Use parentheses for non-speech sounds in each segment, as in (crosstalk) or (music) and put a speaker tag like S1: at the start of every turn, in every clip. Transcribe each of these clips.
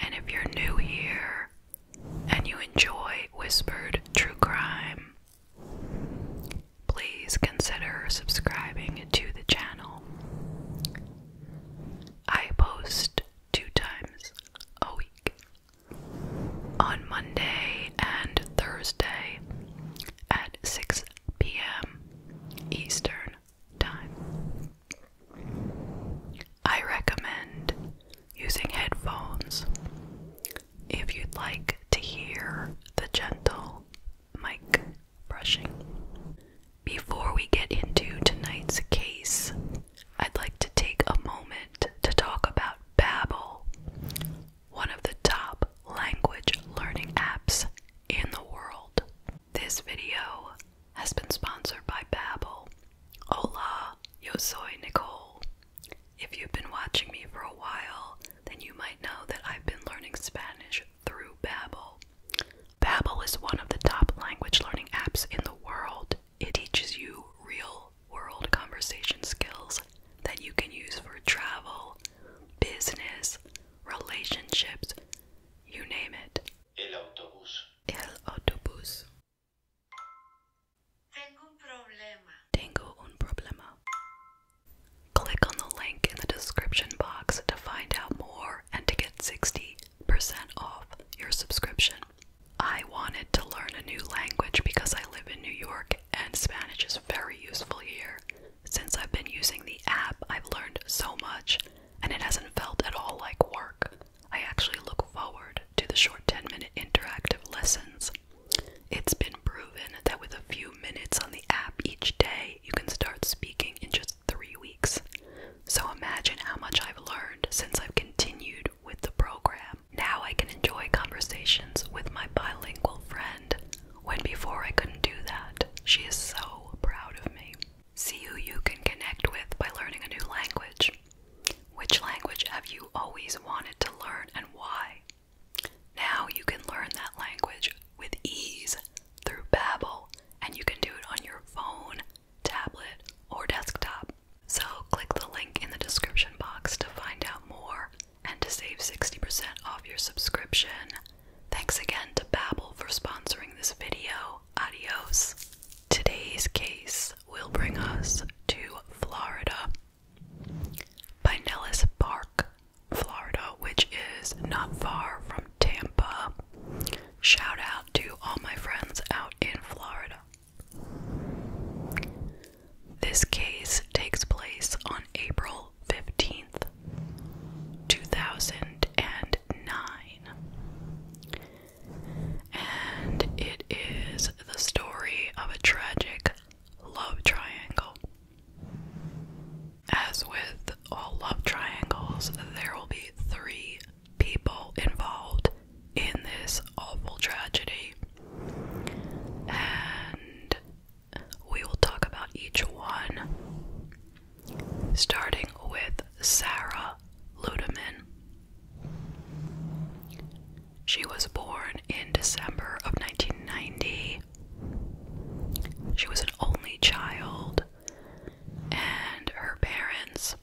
S1: And if you're new here and you enjoy Whispered True Crime, please consider subscribing to the channel. I post two times a week on Monday and Thursday at 6 p.m. Eastern time. I recommend using headphones if you'd like to hear the gentle mic brushing. Before we get into tonight's case, I'd like to take a moment to talk about Babbel, one of the top language learning apps in the world. This video has been sponsored by Babbel. Hola, yo soy Nicole. If you've been watching me for a while, then you might know that I've been learning Spanish through Babbel. Babbel is one of the top language learning apps in the world. It teaches you real-world conversation skills that you can use for travel, business, relationships, you name it. El autobús. El autobús. Tengo un problema. Tengo un problema. Click on the link in the description box to find out more and to get 60% off your subscription. I wanted to learn a new language because I live in New York and Spanish is very useful here. Since I've been using the app, I've learned so much and it hasn't felt at all like work. I actually look forward to the short 10 minute interactive lessons. It's been proven that with a few minutes on the app each day, you can start speaking in just three weeks. So imagine how much I've learned since I've continued with the program. Now I can enjoy conversations with my bilingual friend when before I couldn't do that. She is so proud of me. See who you can connect with by learning a new language. Which language have you always wanted to learn and why? Now you can learn that language with ease through Babbel and you can do it on your phone, tablet, or desktop. So click the link in the description box to find out more and to save 60% off your subscription. Thanks again to Babbel for sponsoring this video adios. Today's case will bring us to Florida. Pinellas Park, Florida, which is not far from Tampa. Shout out to all my friends out in Florida. This case takes place on April 15th, 2000 and 9. And it is the story of a tragic love triangle. As with all love triangles, there will be three people involved in this awful tragedy. And we will talk about each one starting with Sarah Ludeman. She was born in December of 1990. She was an only child, and her parents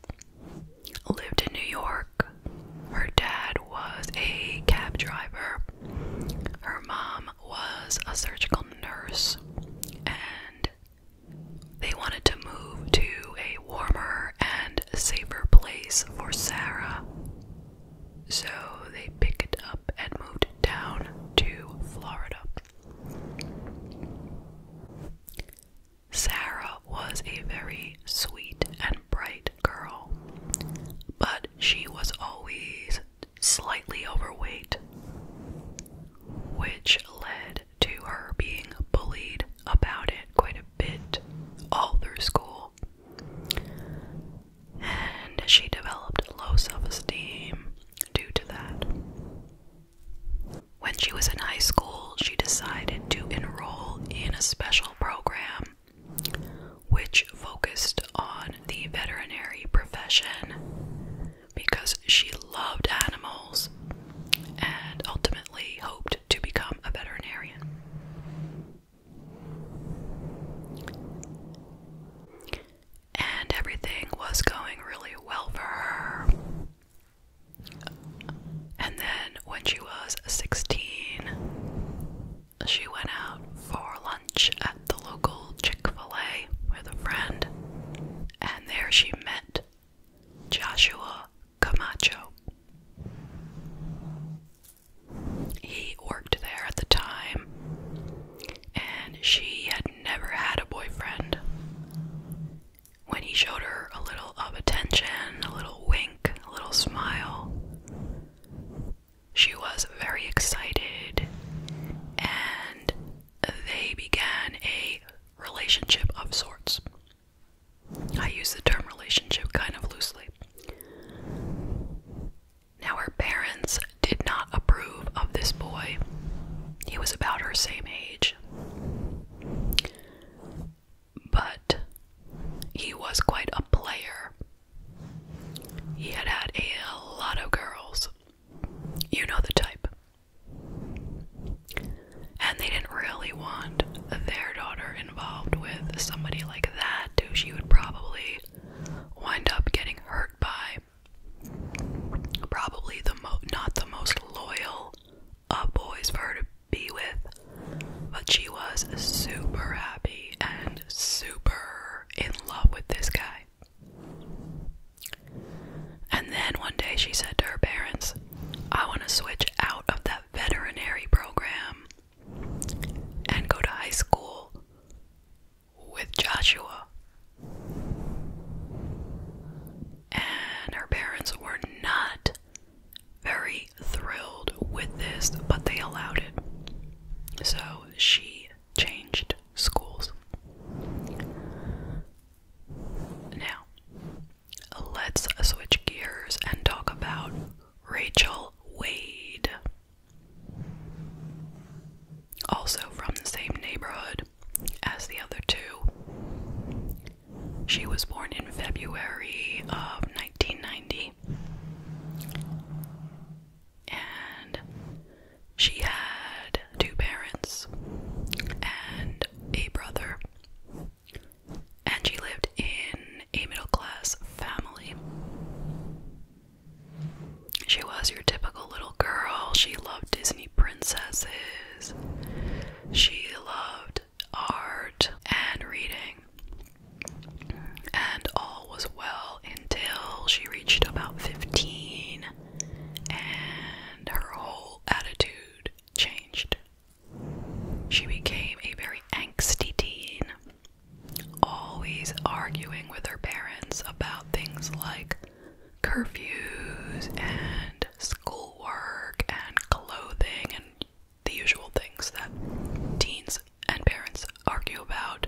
S1: lived in New York. Her dad was a cab driver, her mom was a surgical nurse, and they wanted to move to a warmer and safer place for Sarah. So they picked up and moved down to Florida. Sarah was a very sweet and bright girl, but she was always slightly overweight, which led to her being bullied about it quite a bit all through school. And she developed low self esteem due to that. When she was in high school, she decided to enroll in a special program which focused on the veterinary profession because she loved animals and ultimately hoped to become a veterinarian. And everything was going really well for her. And then, when she was 16, she went out for lunch at the local Chick fil A with a friend, and there she met Joshua Camacho. He worked there at the time, and she had never had a boyfriend. When he showed her a little of attention, a little wink, a little smile, she was very excited, and they began a relationship of sorts. I use the term relationship kind of loosely. Now, her parents did not approve of this boy. He was about her same age. But he was quite a player. He had had a lot of girls. You know the type. And they didn't really want their daughter involved with somebody like that, who she would probably wind up getting hurt by. Probably the most, not the most loyal of boys for her to be with, but she was super happy and super in love with this guy. And then one day she said to her parents, I want to switch out of that veterinary program and go to high school with Joshua. And her parents were not very thrilled with this, but they allowed it. So she changed schools. Now, let's switch gears and talk about Rachel Wade. Also from the same neighborhood as the other two. She was born in February of 1990. And she had two parents and a brother, and she lived in a middle class family. She was your typical little girl. She loved Disney princesses. She loved art and reading. And all was well until she reached about 15 and her whole attitude changed. She became a very angsty teen, always arguing with her parents about things like curfews and schoolwork and clothing and the usual things that teens and parents argue about.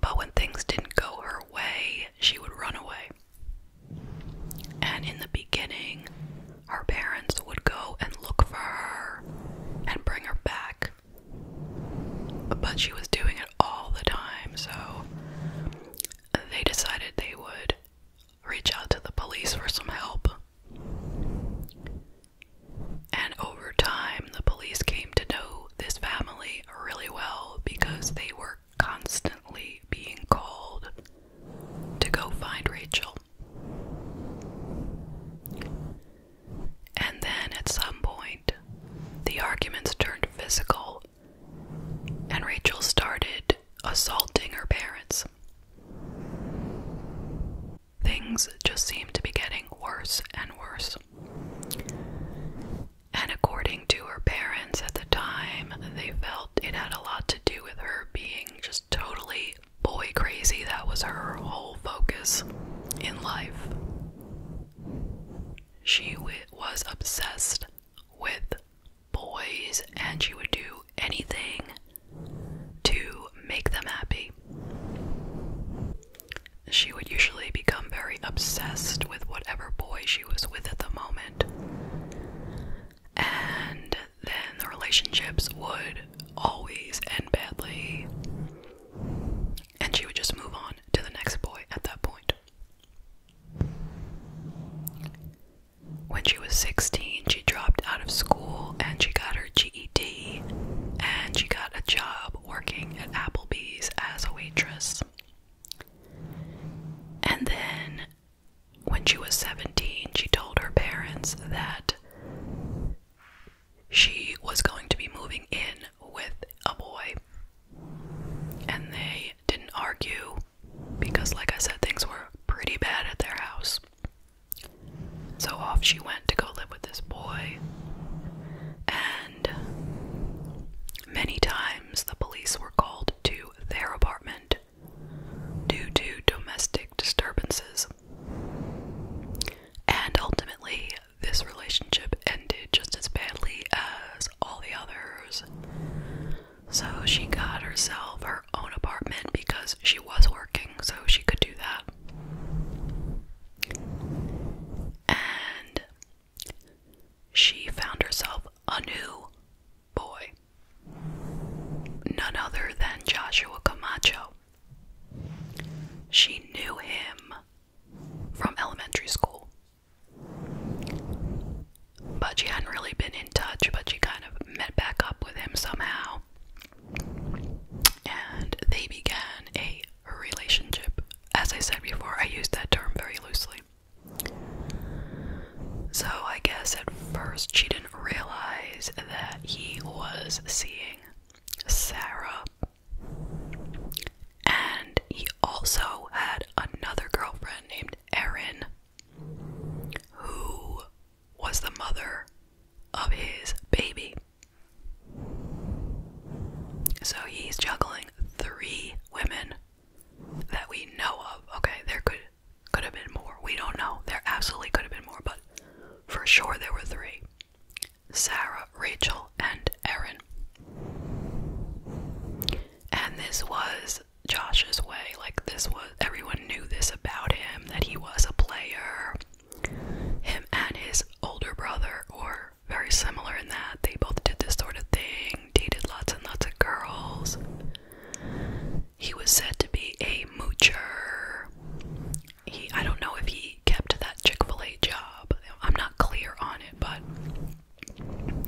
S1: But when things didn't go her way, she would run away. And in the beginning, her parents would go and look for her and bring her back. But she was doing it all the time, so they decided they would reach out to the police for some help. And over time, the police came to know this family really well because they were constantly being called to go find Rachel. And then at some point, the arguments turned physical, and Rachel started assaulting her parents. Things just seemed to be getting worse and worse. And according to her parents at the time, they felt it had a lot to do with her being just totally boy crazy. That was her whole focus in life. She was obsessed with boys and she would do anything to make them happy she would usually become very obsessed with whatever boy she was with at the moment. And then the relationships would always end badly. And she would just move on to the next boy at that point. When she was 16, she dropped out of school and she got her GED and she got a job working at Applebee's as a waitress. And then when she was 17, she told her parents that she was going to be moving in with a boy. And they didn't argue because, like I said, things were pretty bad at their house. So off she went to go live with this boy. And Many times the police were called to their apartment due to domestic disturbances. And ultimately, this relationship ended just as badly as all the others. So she got herself her own apartment because she was working, so she could do that. And she found herself a new boy, none other than Joshua Camacho. She knew him from elementary school. But she hadn't really been in touch, but she kind of met back up with him somehow. And they began a relationship. As I said before, I use that term very loosely. So I guess at first she didn't realize that he was seeing Sarah. And he also had another girlfriend named Erin, who was the mother of his baby. So he's juggling three women that we know of. Okay, there could could have been more. We don't know. There absolutely could have been more, but for sure there were three. Sarah, Rachel, and Erin. And this was Josh's way. Like this was everyone knew this about him that he was a player. Him and his older brother or very similar in that they both did this sort of thing, dated lots and lots of girls. He was said to be a moocher. He I don't know if he kept that Chick-fil-A job. I'm not clear on it, but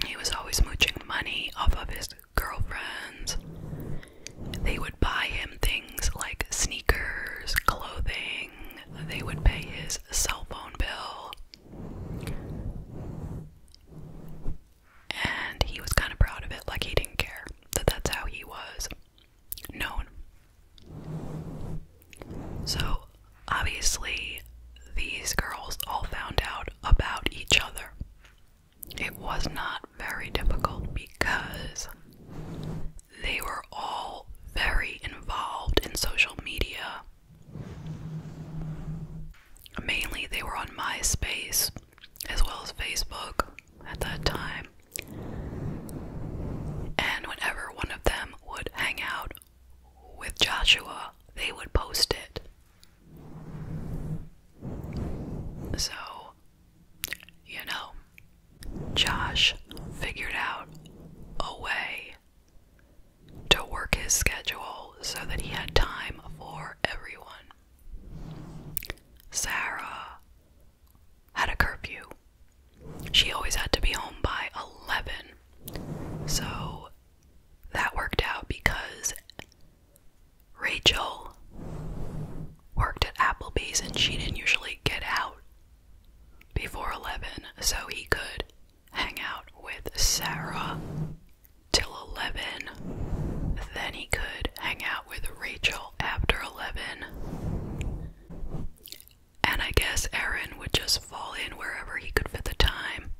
S1: he was always mooching money off of his girlfriends. They would buy him things like sneakers, clothing. They would pay his cell phone bill. And he was kind of proud of it, like he didn't care that that's how he was known. So, obviously, these girls all found out about each other. It was not very difficult because they were all very involved in social media Mainly, they were on MySpace as well as Facebook at that time. And whenever one of them would hang out with Joshua, they would post it. So, you know, Josh figured out a way to work his schedule so that he had time for everyone. Sarah had a curfew. She always had to be home by 11. So that worked out because Rachel worked at Applebee's and she didn't usually get out before 11, so he could hang out with Sarah till 11. Then he could hang out with Rachel after 11. And I guess Aaron would just fall in wherever he could fit the time.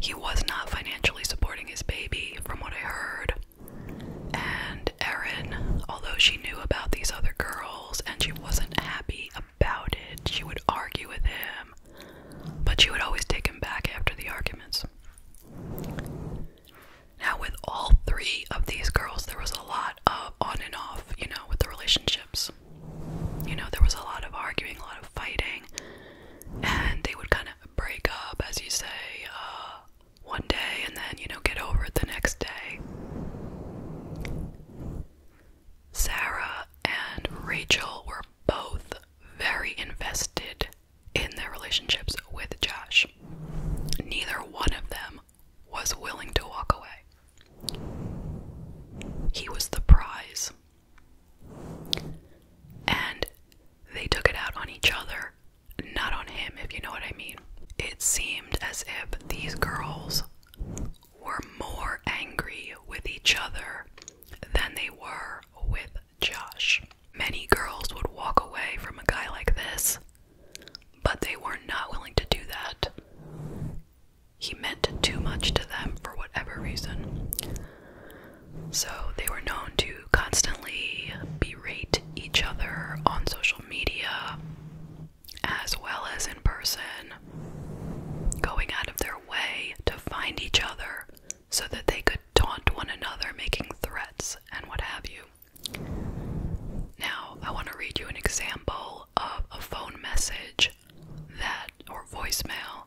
S1: He was not financially supporting his baby, from what I heard. And Erin, although she knew about these other girls and she wasn't happy about it. She would argue with him, but she would always take him back after the arguments. Now, with all three of these girls, there was a lot of on and off, you know, with the relationships. You know, there was a lot of arguing, a lot of fighting, and they would kind of break up, as you say, uh, one day and then, you know, get over it the next day. Sarah and Rachel were both very invested in their relationships with Josh. Neither one of them was willing to walk away. He was the prize. And they took it out on each other, not on him, if you know what I mean. It seemed as if these girls were more angry with each other than they were with Josh. Many girls would walk away from a guy like this, but they were not willing to do that. He meant too much to them for whatever reason. So they were known to constantly berate each other on social media as well as in person going out of their way to find each other so that they could taunt one another, making threats and what have you. Now, I want to read you an example of a phone message that, or voicemail,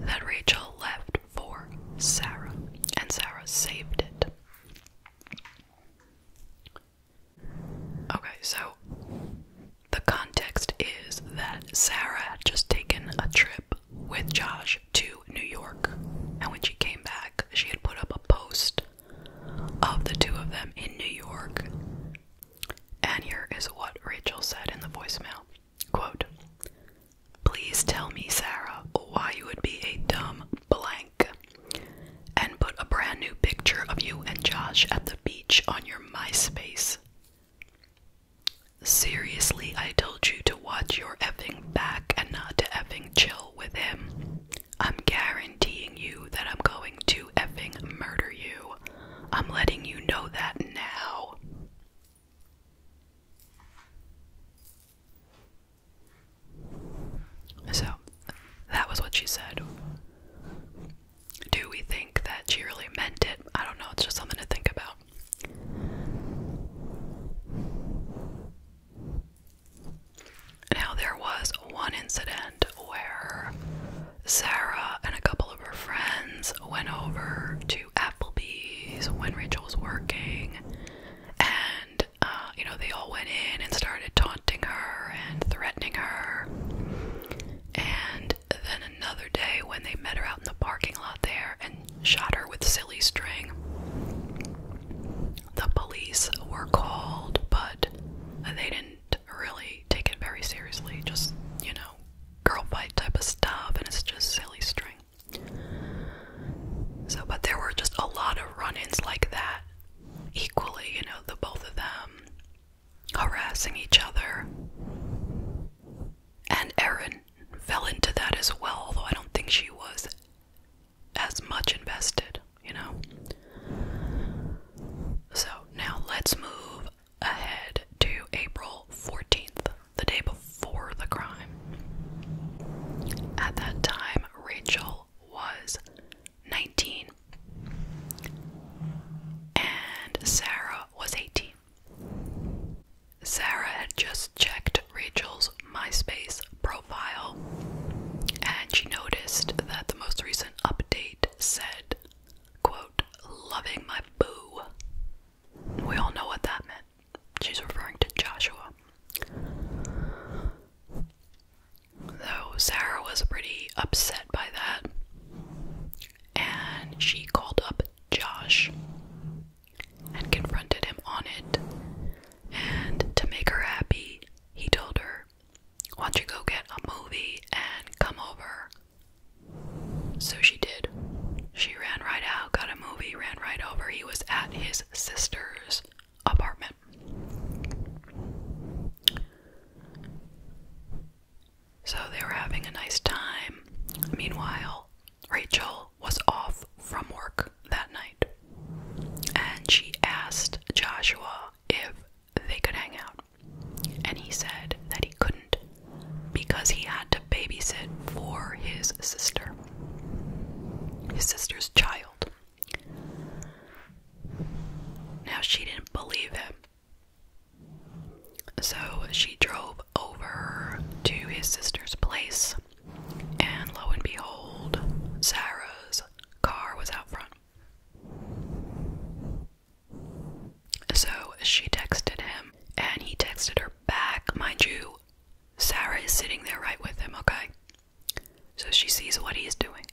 S1: that Rachel left for Sarah, and Sarah saved it. Okay, so the context is that Sarah had just taken a trip with Josh to New York, and when she came back, she had put up a post of the two of them in New York. And here is what Rachel said in the voicemail Quote, Please tell me, Sarah, why you would be a dumb blank and put a brand new picture of you and Josh at the beach on your MySpace Seriously, I told you to watch your effing back and not to effing chill with him. I'm guaranteeing you that I'm going to effing murder you. I'm letting you know that now. So, that was what she said do we think that she really meant it? I don't know, it's just something to think about. Now, there was one incident where Sarah and a couple of her friends went over to Applebee's when Rachel was working, and uh, you know, they all went in and started taunting her and threatening her. And and then another day when they met her out in the parking lot there and shot her with silly string. The police were called, but they didn't really take it very seriously. Just, you know, girl fight type of stuff, and it's just silly string. So, but there were just a lot of run ins like that. Equally, you know, the both of them harassing each other. And Erin fell into that as well, although I don't think she was as much invested, you know? So now let's move ahead to April 14th, the day before the crime. At that time, Rachel was 19 and Sarah was 18. Sarah had just checked Rachel's MySpace profile and she noticed that the most recent update said, quote, loving my boo. We all know what that meant. She's referring to Joshua. Though Sarah was pretty upset by that, and she called up Josh and confronted him on it. And to make her happy, he told her, Why don't you go get a movie and come over? So she did. She ran right out, got a movie, ran right over. He was at his sister's apartment. So they were having a nice time. Meanwhile, Rachel was off from work that night and she asked Joshua if they could hang out. And he said that he couldn't because he had to babysit for his sister, his sister's child. Now she didn't believe him so she drove over to his sister's place, and lo and behold, Sarah's car was out front. So she texted him, and he texted her back. Mind you, Sarah is sitting there right with him, okay? So she sees what he's doing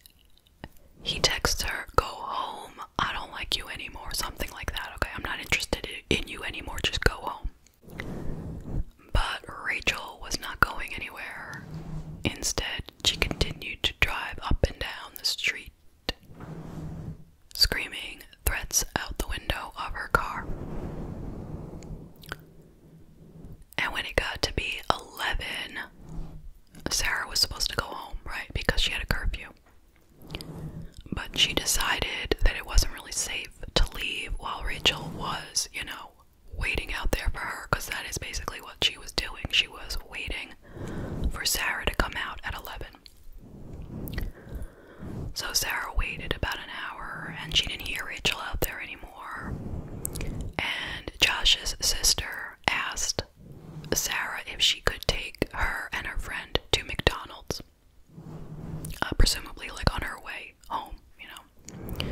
S1: he texts her, Go home. I don't like you anymore. Something like that. Okay, I'm not interested in you anymore. Just go home. But Rachel was not going anywhere. Instead, she continued to drive up and down the street, screaming threats out the window of her car. And when it got to be 11, Sarah was supposed to go home, right? Because she had a curfew. But she decided that it wasn't really safe to leave while Rachel was, you know, waiting out there for her because that is basically what she was doing. She was waiting for Sarah to come out at 11. So Sarah waited about an hour and she didn't hear Rachel out there anymore. And Josh's sister asked Sarah if she could take her and her friend to McDonald's, uh, presumably like on her way home, you know.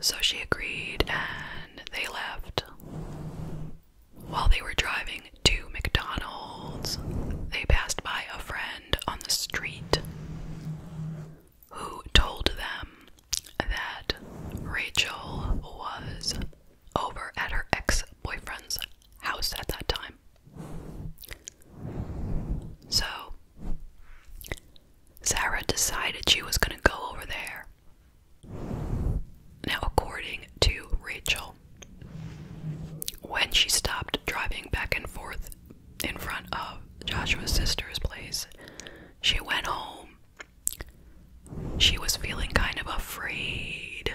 S1: So she agreed and they left. While they were driving to McDonald's, they passed by a friend on the street who told them that Rachel was over at her ex boyfriend's house at that time. So, Sarah decided she was going to go over there. Now, according to Rachel, when she stopped driving back and forth in front of Joshua's sister's place, she went home she was feeling kind of afraid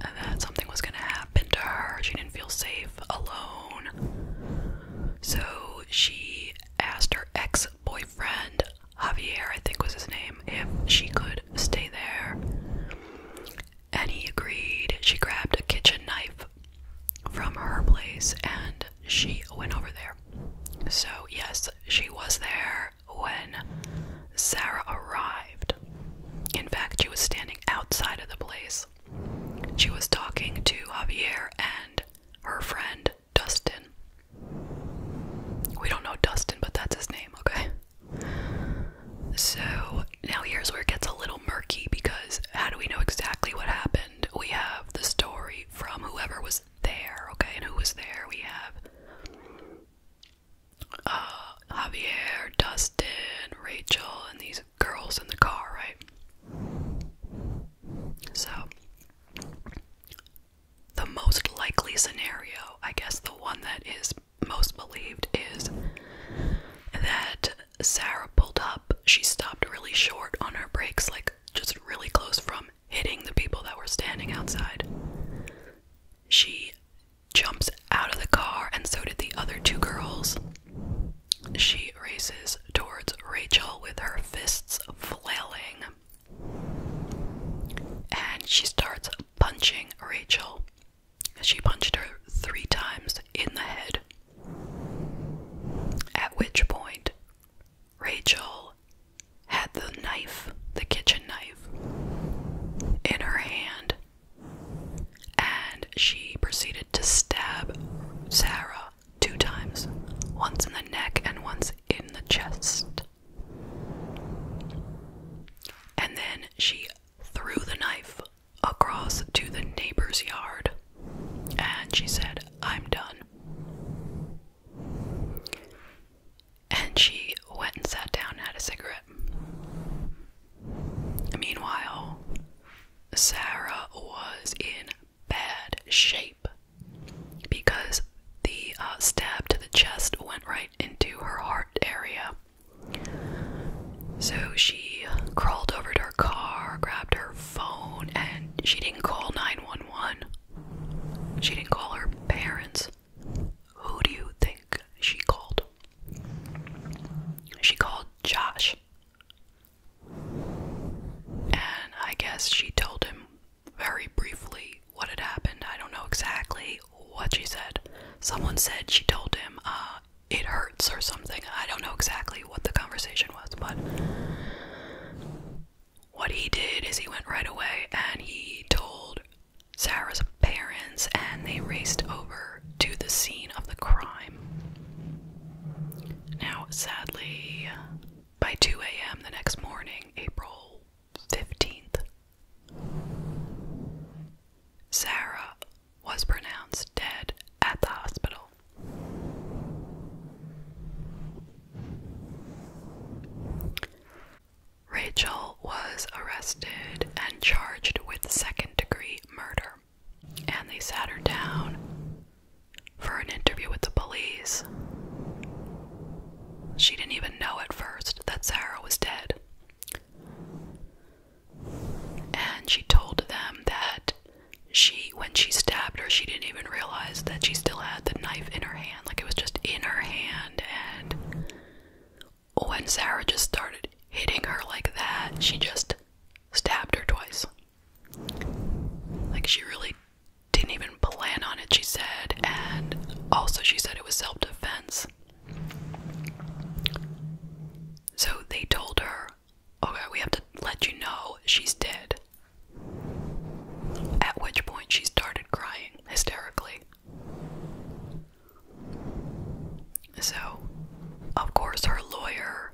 S1: that something was going to happen to her. She didn't feel safe alone. So she asked her ex boyfriend, Javier, I think was his name, if she could stay there. And he agreed. She grabbed a kitchen knife from her place and she went over there. So, yes, she was there when Sarah arrived. In fact, she was standing outside of the place. She was talking to Javier and her friend Dustin. We don't know Dustin, but that's his name, okay? So now here's where it gets a little murky because how do we know exactly what happened? We have the story from whoever was there, okay? And who was there? We have uh, Javier, Dustin, Rachel, and these girls in the car, right? So, the most likely scenario, I guess the one that is most believed, is that Sarah pulled up. She stopped really short on her brakes, like just really close from hitting the people that were standing outside. She jumps out of the car, and so did the other two girls. She races towards Rachel with her fists flailing, and she starts punching Rachel. She punched her three times in the head. At which point, Rachel had the knife, the kitchen knife in her hand and she proceeded to stab Sarah two times once in the neck and once in the chest. And then she threw the knife across to the neighbor's yard and she said, I'm done and she went and sat down and had a cigarette. Meanwhile, Sarah was in bad shape because the uh, stab to the chest went right into her heart area. So she crawled over to her car, grabbed her phone, and she didn't call 911. She didn't call her parents. Who do you think she called? She called Josh. And I guess she told him very briefly what had happened. I don't know exactly what she said. Someone said she told him uh, it hurts or something. I don't know exactly what the conversation was, but what he did is he went right away and he told Sarah's parents and they raced over to the scene of the crime. Now, sadly, by 2 a.m. the next morning, April 15th, Sarah was pronounced dead at the hospital. Rachel was arrested and charged with second degree murder, and they sat her down for an interview with the police. She didn't even know at first that Sarah was dead. And she told them that she, when she stabbed her, she didn't even realize that she still had the knife in her hand. Like it was just in her hand, and when Sarah just started hitting her like that, she just stabbed her twice. Like, she really didn't even plan on it, she said, and also she said it was self defense. So they told her, okay, we have to let you know she's dead. At which point she started crying hysterically. So, of course, her lawyer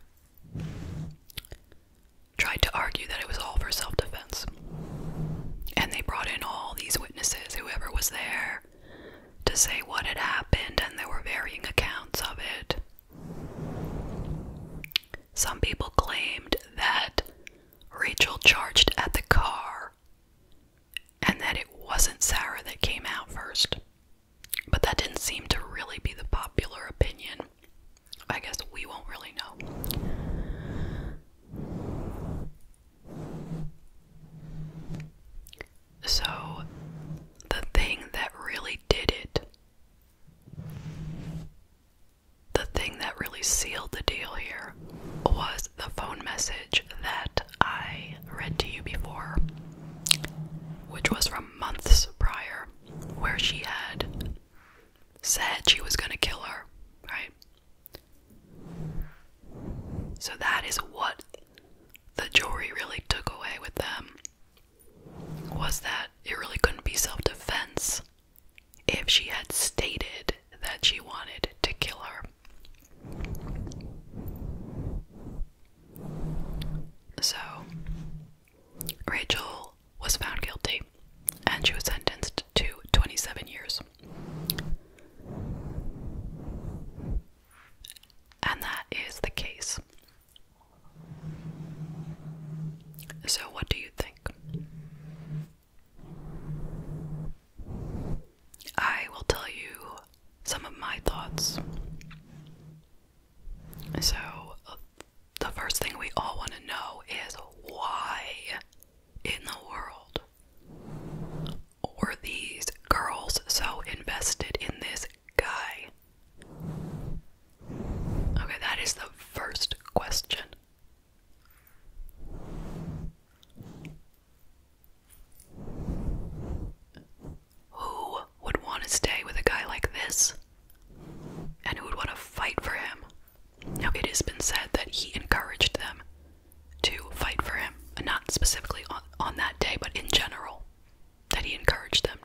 S1: tried to argue that it was all for self defense. And they brought in all these witnesses, whoever was there, to say what had happened, and there were varying accounts of it. Some people claimed that Rachel charged at the car and that it wasn't Sarah that came out first. But that didn't seem to really be the popular opinion. I guess we won't really know. So, the thing that really did it, the thing that really sealed the deal here, was the phone message that I read to you before, which was from months prior, where she had said she was gonna kill her, right? So that is what the jury really took away with them was that it really couldn't be self defense if she had stated that she wanted to kill her. So, Rachel was found guilty and she was sentenced to 27 years. And that is the case. So, what do you think? I will tell you some of my thoughts. So, uh, the first thing we all want to know is why in the world were these girls so invested in this guy? Okay, that is the first question. Who would want to stay with a guy like this? And who would want to fight for him? Now, it has been said that he encouraged them to fight for him, not specifically on, that day, but in general, that he encouraged them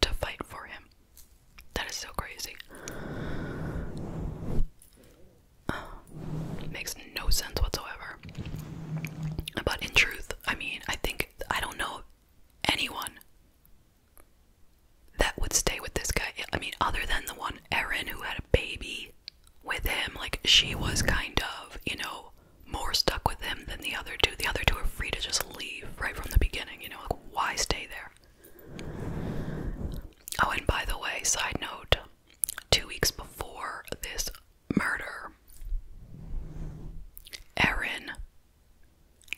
S1: to fight for him. That is so crazy. (sighs) Makes no sense whatsoever. But in truth, I mean, I think I don't know anyone that would stay with this guy. I mean, other than the one Erin who had a baby with him, like she was kind of, you know, more stuck with him than the other two. The other two are free to just leave right from the beginning, you know, like why stay there? Oh, and by the way, side note, two weeks before this murder, Erin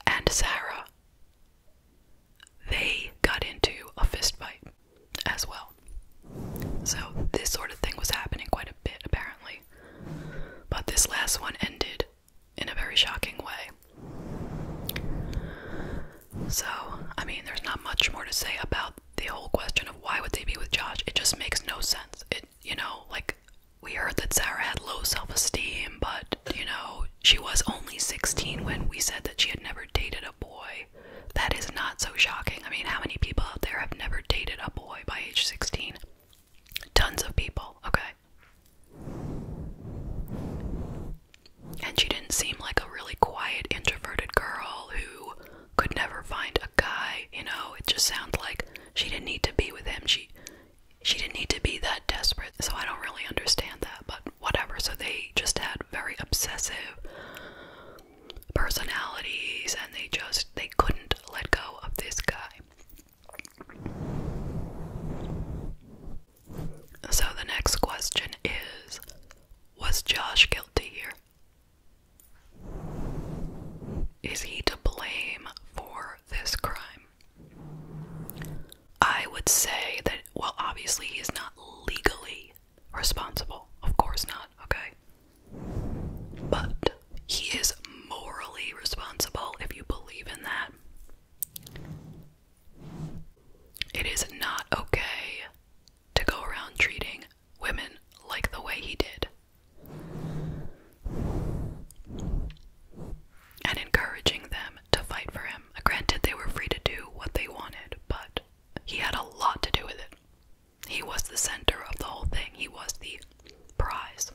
S1: and Sarah they got into a fistfight as well. So this sort of thing was happening quite a bit apparently. But this last one ended in a very shocking way. So, I mean, there's not much more to say about the whole question of why would they be with Josh, it just makes no sense. It, you know, like we heard that Sarah had low self esteem, but you know, she was only 16 when we said that she had never dated a boy. That is not so shocking. I mean, how many people out there have never dated a boy by age 16? Tons of people, okay? And she didn't seem like a really quiet, introverted girl who could never find a guy, you know, it just sounds like she didn't need to be with him. She she didn't need to be that desperate. So I don't really understand that, but whatever. So they just had very obsessive personalities and they just they couldn't let go of this guy. So the next question is was Josh guilty here? Is he to blame for this crime? I would say that, well, obviously he is not legally responsible. Of course not, okay? But he is morally responsible if you believe in that. It is not okay to go around treating women like the way he did. And encouraging them to fight for him. Granted, they were free to do what they wanted, but he had a lot to do with it. He was the center of the whole thing, he was the prize.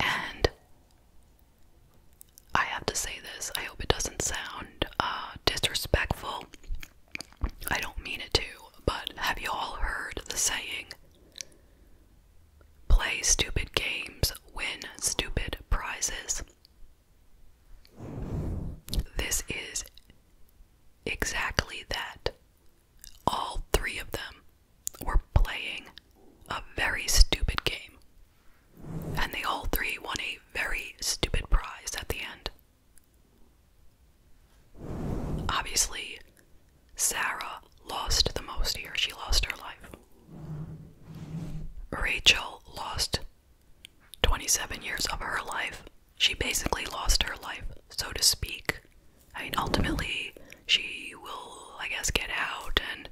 S1: And I have to say this, I hope it doesn't sound uh, disrespectful I don't mean it to, but have you all heard the saying? Play stupid games, win stupid prizes. This is exactly that. All three of them were playing a very stupid game, and they all three won a very stupid prize at the end. Obviously, Sarah lost the most here. She lost her life. Rachel lost 27 years of her life. She basically lost her life, so to speak. I mean, ultimately, she will, I guess, get out and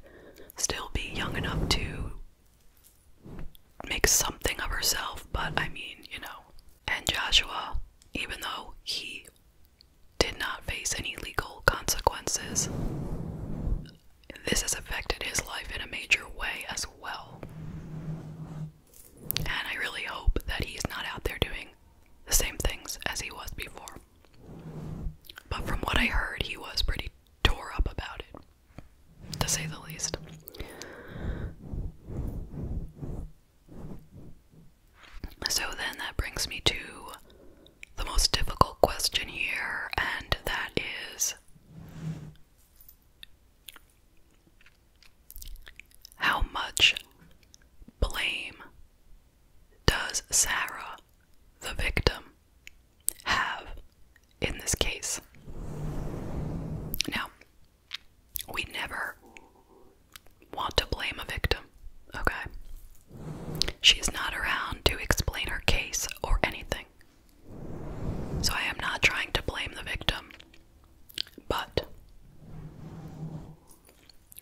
S1: still be young enough to make something of herself, but I mean, you know. And Joshua, even though he did not face any legal consequences, this has affected his life in a major way as well. And I really hope that he's not out there doing the same things as he was before. But from what I heard, he was pretty tore up about it to say the least. So then that brings me to the most difficult question here, and that is how much blame does Sarah, the victim, have in this case? Now, we never want to blame a victim, okay? She's not around to explain her case or anything. So I am not trying to blame the victim. But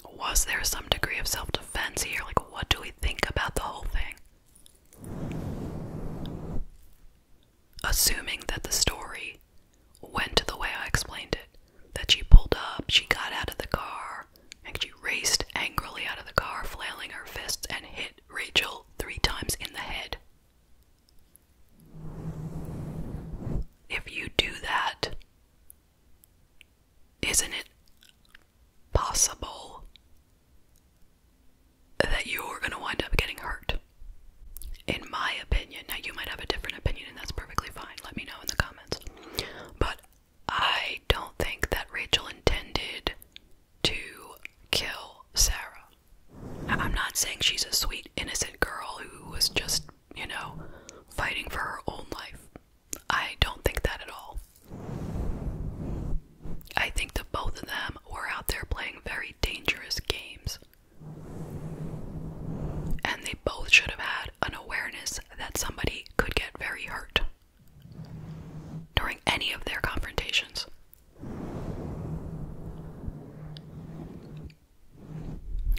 S1: was there some degree of self defense here? Like, what do we think about the whole thing? assuming that the story went the way I explained it. That she pulled up, she got out of the car, and she raced angrily out of the car, flailing her fists, and hit Rachel three times in the head. If you do that, isn't it possible that you're going to wind up getting hurt. In my opinion, now you might have a different opinion, and that's perfectly fine. Let me know in the comments. But I don't think that Rachel intended to kill Sarah. I'm not saying she's a sweet, innocent girl who was just, you know, fighting for her own life. I don't think that at all. I think that both of them were out there playing very dangerous games. And they both should have had an awareness that somebody could get very hurt during any of their confrontations.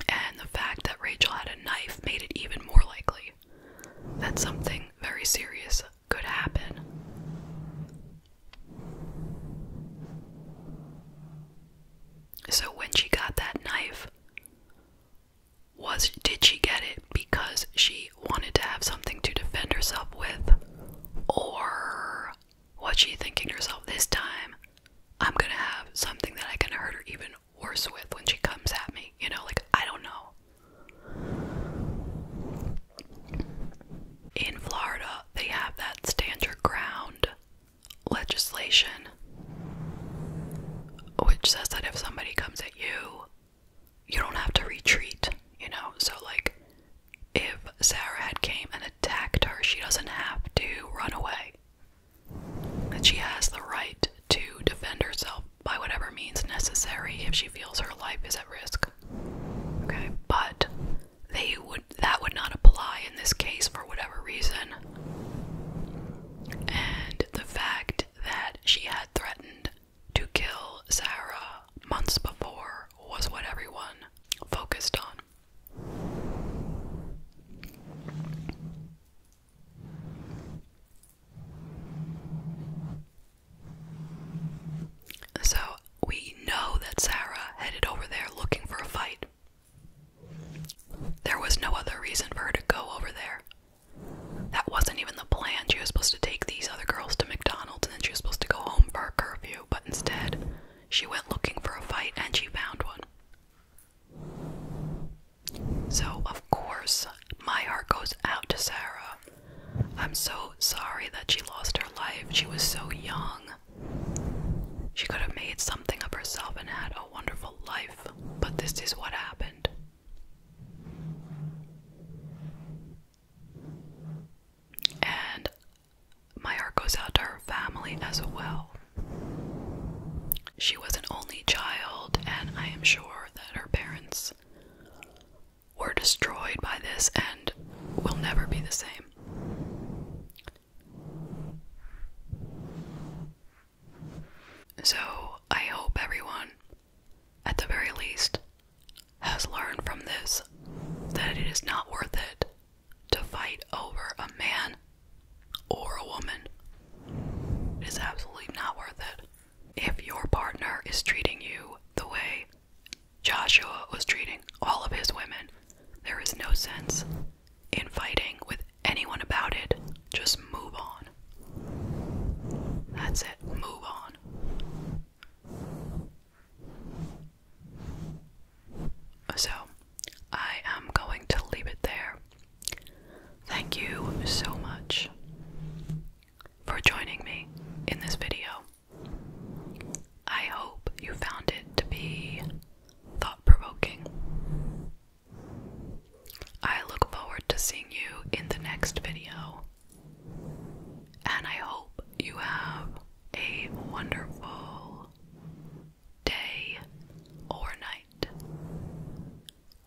S1: And the fact that Rachel had a knife made it even more likely that something very serious could happen so when she got that knife, was did she get it because she wanted to have something to defend herself with or was she thinking herself this time I'm going to have something that I can hurt her even worse with when she comes at me, you know, like I don't know. In Florida, they have that stand your ground legislation, which says that if somebody comes at you, you don't have to retreat, you know? So, like, if Sarah had came and attacked her, she doesn't have to run away. And she has the right to defend herself by whatever means necessary if she feels her life is at risk. Okay, but they would that would not apply in this case for whatever reason. And the fact that she had threatened to kill Sarah months before was what everyone focused on. So we know that Sarah headed over there looking for a fight. There was no other reason for her to go over there. That wasn't even the plan. She was supposed to take these other girls to McDonald's and then she was supposed to go home for her curfew, but instead, she went looking for a fight and she found one. So, of course, my heart goes out to Sarah. I'm so sorry that she lost her life. She was so young. She could have made something of herself and had a wonderful life, but this is what happened. And my heart goes out to her family as well. She was an only child, and I am sure that her parents were destroyed by this and will never be the same. So, I hope everyone, at the very least, has learned from this that it is not worth it to fight over a man or a woman. It is absolutely not worth it. If your partner is treating you the way Joshua was treating all of his women. There is no sense in fighting with anyone about it. Just move on. That's it. Move on. So, I am going to leave it there. Thank you so much for joining me in this video. I hope you found it to be thought provoking. I look forward to seeing you in the next video, and I hope you have a wonderful day or night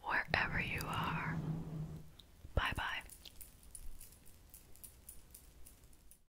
S1: wherever you are. Bye bye.